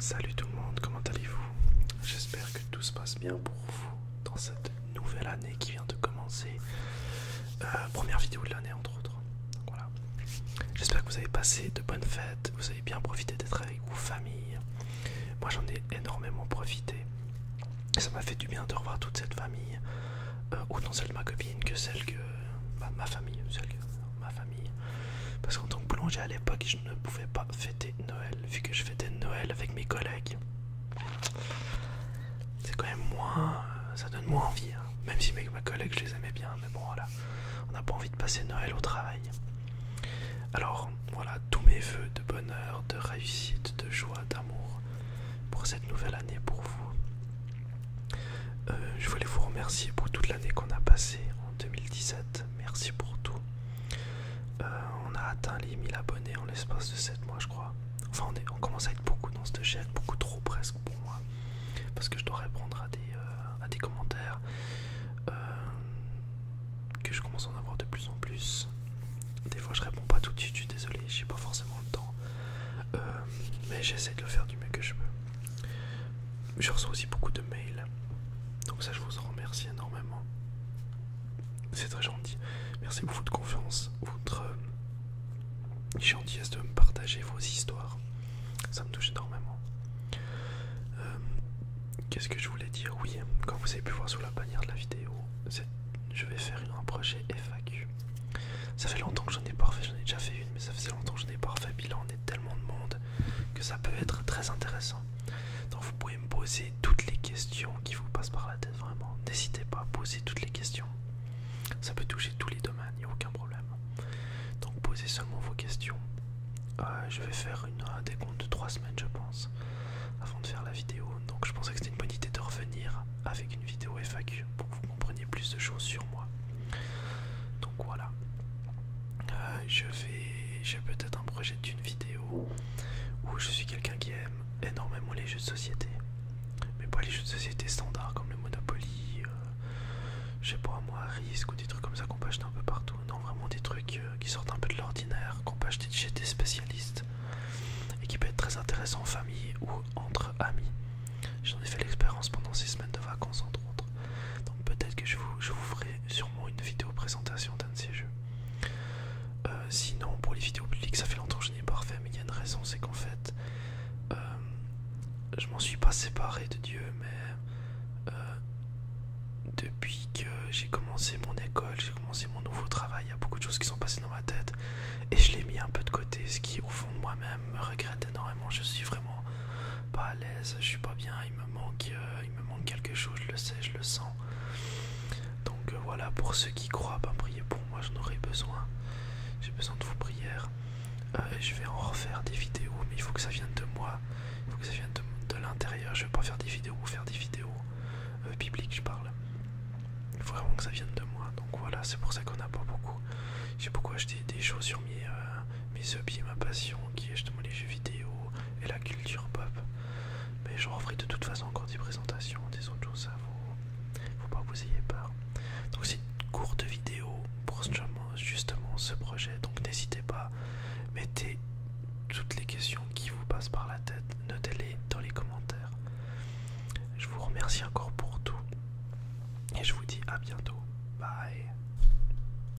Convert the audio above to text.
Salut tout le monde, comment allez-vous J'espère que tout se passe bien pour vous dans cette nouvelle année qui vient de commencer. Euh, première vidéo de l'année entre autres. voilà. J'espère que vous avez passé de bonnes fêtes, vous avez bien profité d'être avec vos familles. Moi j'en ai énormément profité. ça m'a fait du bien de revoir toute cette famille. Euh, autant celle de ma copine que celle que... Bah, ma famille, celle que ma famille. Parce qu'en tant que boulanger à l'époque, je ne pouvais pas fêter Noël, vu que je fêtais Noël avec mes collègues. C'est quand même moins. ça donne moins envie, hein. même si mes, collègues je les aimais bien, mais bon voilà, on n'a pas envie de passer Noël au travail. Alors voilà, tous mes voeux de bonheur, de réussite, de joie, d'amour pour cette nouvelle année pour vous. Euh, je voulais vous remercier pour toute l'année qu'on a passée en 2017. Merci pour tout. Euh, on a atteint les 1000 abonnés en l'espace de 7 mois, je crois. Enfin, on, commence à être beaucoup dans cette chaîne, beaucoup trop presque pour moi. Parce que je dois répondre à des, euh, à des commentaires euh, que je commence à en avoir de plus en plus. Des fois, je réponds pas tout de suite, je suis désolé, j'ai pas forcément le temps. mais j'essaie de le faire du mieux que je peux. Je reçois aussi beaucoup de mails. Donc ça je vous en remercie énormément. C'est très gentil. Merci beaucoup de confiance, votre euh, gentillesse de me partager vos histoires. Ça me touche énormément. Euh, qu'est-ce que je voulais dire Oui, comme vous avez pu voir sous la bannière de la vidéo, je vais faire une projet FAQ. Ça fait longtemps que j'en ai pas fait, j'en ai déjà fait une, mais ça faisait longtemps que je n'ai pas refait bilan tellement de monde que ça peut être très intéressant. Donc vous pouvez me poser toutes les questions qui vous passent par la tête, vraiment. N'hésitez pas à poser toutes les questions. Ça peut toucher tous les domaines, il n'y a aucun problème. Donc posez seulement vos questions. Euh, je vais faire une, un décompte de trois semaines, je pense, avant de faire la vidéo. Donc je pensais que c'était une bonne idée de revenir avec une vidéo FAQ pour que vous compreniez plus de choses sur moi. Donc voilà. Euh, je vais, j'ai peut-être un projet d'une vidéo où je suis quelqu'un qui aime énormément les jeux de société, mais pas les jeux de société standard comme le Monopoly, j'ai euh, je sais pas moi, Risk ou des trucs comme ça qu'on peut acheter un peu partout. Non, vraiment des trucs euh, qui sortent un peu de l'ordinaire, qu'on peut acheter chez des spécialistes et qui peut être très intéressant en famille ou entre amis. J'en ai fait l'expérience pendant ces semaines de vacances entre autres. Donc peut-être que je vous ferai sûrement une vidéo présentation d'un de ces jeux. Euh, sinon, pour les vidéos publiques, ça fait longtemps que je n'ai pas refait, mais il y a une raison, c'est qu'en fait, euh, je m'en suis pas séparé de Dieu, mais euh, depuis que j'ai commencé mon école, j'ai commencé mon nouveau travail, il y a beaucoup de choses qui sont passées dans ma tête, et je l'ai mis un peu de côté, ce qui, au fond de moi-même, me regrette énormément. Je suis vraiment pas à l'aise, je suis pas bien, il me manque, euh, il me manque quelque chose, je le sais, je le sens. Donc euh, voilà, pour ceux qui croient, pas ben, priez pour moi, j'en aurai besoin. J'ai besoin de vos prières. Euh, je vais en refaire des vidéos, mais il faut que ça vienne de moi. Il faut que ça vienne de, l'intérieur. Je vais pas faire des vidéos faire des vidéos bibliques, je parle. Il faut vraiment que ça vienne de moi. Donc voilà, c'est pour ça qu'on n'a pas beaucoup. J'ai beaucoup acheté des choses sur mes... Mais ce biais ma passion qui est justement les jeux vidéo et la culture pop. Mais je referai de toute façon encore des présentations, des autres jours, ça vous faut pas que vous ayez peur. Donc c'est une courte vidéo pour justement ce projet, donc n'hésitez pas, mettez toutes les questions qui vous passent par la tête, notez-les dans les commentaires. Je vous remercie encore pour tout et je vous dis à bientôt. Bye